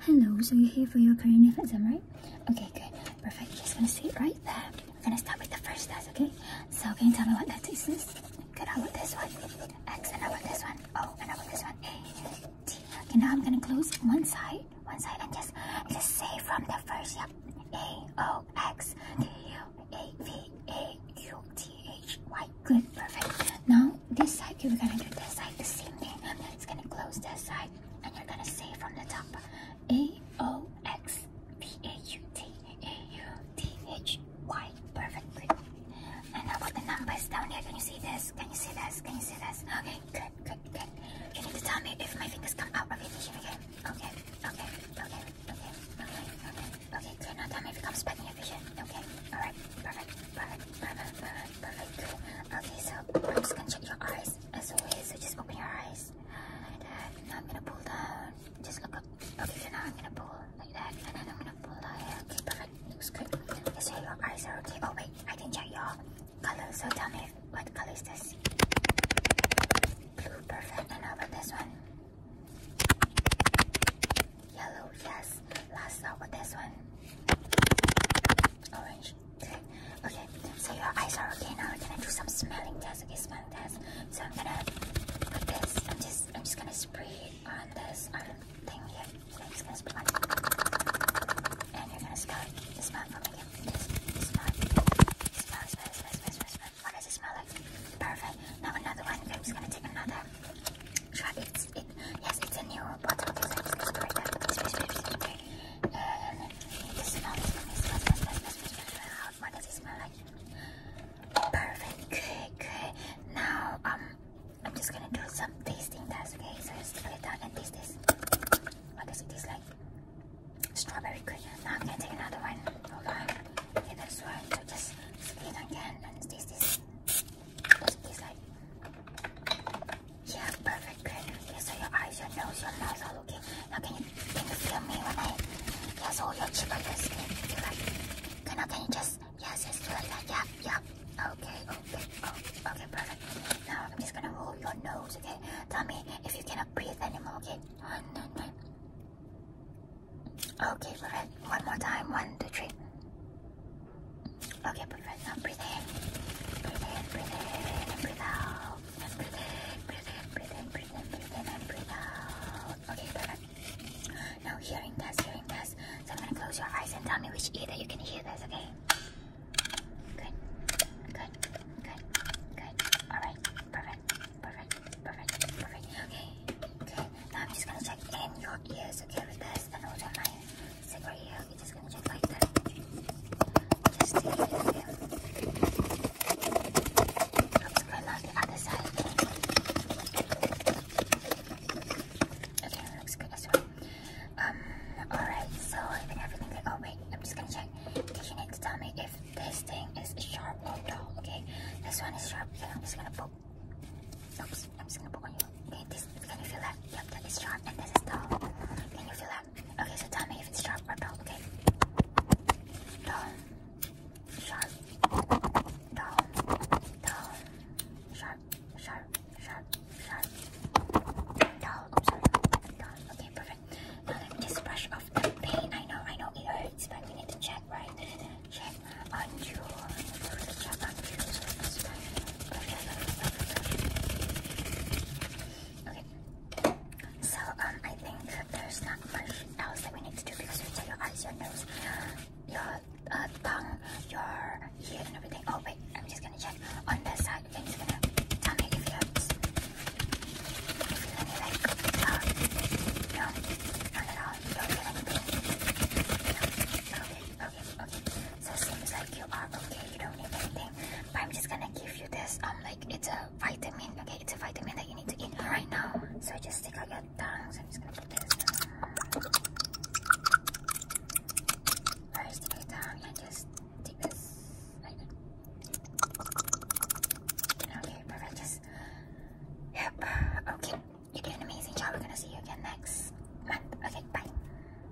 Hello, so you're here for your perineal exam, right? Okay, good. Perfect. Just gonna sit right there. We're gonna start with the first test, okay? So can you tell me what that this? is? Good, how about this one? X, and I about this one? O, and how about this one? A, T. Okay, now I'm gonna close one side, one side, and just, just say from the first, yep. A, O, X, T, U, A, V, A, U, T, H, Y. Good, perfect. Now now this side you're gonna do this side the same thing. It's gonna close this side and you're gonna say from the top A O X B A U T A U T H Y. Perfectly. And how about the numbers down here? Can you see this? Can you see this? Can you see this? Okay, good, good, good. You need to tell me if my fingers come out of the tissue again. Okay, okay, okay, okay, okay, okay. Okay, okay. Now tell me if it comes back in your vision. Okay, alright, perfect. Perfect, perfect, perfect, perfect. Okay, so I'm just gonna check your eyes as always. So just open your eyes. Like that. Now I'm gonna pull down. Just look up. Okay, so now I'm gonna pull like that. And then I'm gonna pull down here. Okay, perfect. Looks good. Okay, so your eyes are okay. Oh wait, I didn't check your color. So tell me what color is this? Blue, perfect. And how about this one? Yellow, yes. Let's start with this one. Orange. Okay, so your eyes are okay now. We're gonna do some smelling test. Okay, smelling test. So I'm gonna put this. I'm just I'm just gonna spray it on this on um, thing here. So I'm just gonna spray on it. And you're gonna smell it. Just smell it for me. Again. Just smell it. Smell, smell, smell, smell, smell, smell. What does it smell like? Perfect. Now another one. I'm just gonna take another. Try it. It Yes, it's a new bottle design for the story. And the smell is How what does it smell like? Perfect. Good, good. Now, um, I'm just gonna do some tasting tests, okay? So let's put it down and taste this. What does it taste like? Strawberry good. Now I'm gonna take another one. Hold on. Okay, that's one. So just split again and taste this yeah, perfect, good. so your eyes, your nose, your mouth are okay. Now can you, feel me when I, yes, all your cheek your skin? Do like, okay, now can you just, yes, yes, yeah, yeah. Okay, okay, oh, okay, perfect. Now I'm just gonna roll your nose, okay? Tell me if you cannot breathe anymore, okay? Okay, perfect. One more time, one, two, three. Okay, but now breathe in. Breathe in, and breathe out. And breathe in, breathe in, and breathe out. Okay, perfect. Now hearing test, hearing test. So I'm gonna close your eyes and tell me which ear that you can hear this, okay? Good. Good. Good. Good. Alright. Perfect. Perfect. Perfect. Perfect. Okay. Okay. Now I'm just gonna check in your ears, okay, with this and also mine. So for you, just gonna check like that. Just to you I'm just on the side. Okay, looks good as well. Um, alright, so even everything Oh wait, I'm just gonna check. Did you need to tell me if this thing is sharp or dull, okay? This one is sharp, I'm just gonna poke. Oops, I'm just gonna poke on you it is, can you feel that? Yep, that is sharp and this is tall. Can you feel that? Okay, so tell me if it's sharp or dull. okay? Tall, sharp, tall, tall, sharp, sharp, sharp, sharp, tall, oh okay, perfect. Now let me just brush off the pain. I know, I know it hurts, but we need to check, right? Check on you, check on Okay. So, um, I think there's not much else that we need to do because we did your eyes, your nose, your uh, tongue, your ear, and everything. Oh, wait, I'm just gonna check on this side. i gonna tell me feel uh, feel anything. No. Okay, okay, okay. So seems like you are okay. You don't need anything. But I'm just gonna give you this. I'm um, like it's a vitamin. Okay, it's a vitamin that you need to eat right now. So just stick out your tongue. So I'm just gonna put this. Alright, uh, stick out tongue and just take this. okay, perfect. Just yep. Okay, you did an amazing job. We're gonna see you again next month. Okay, bye.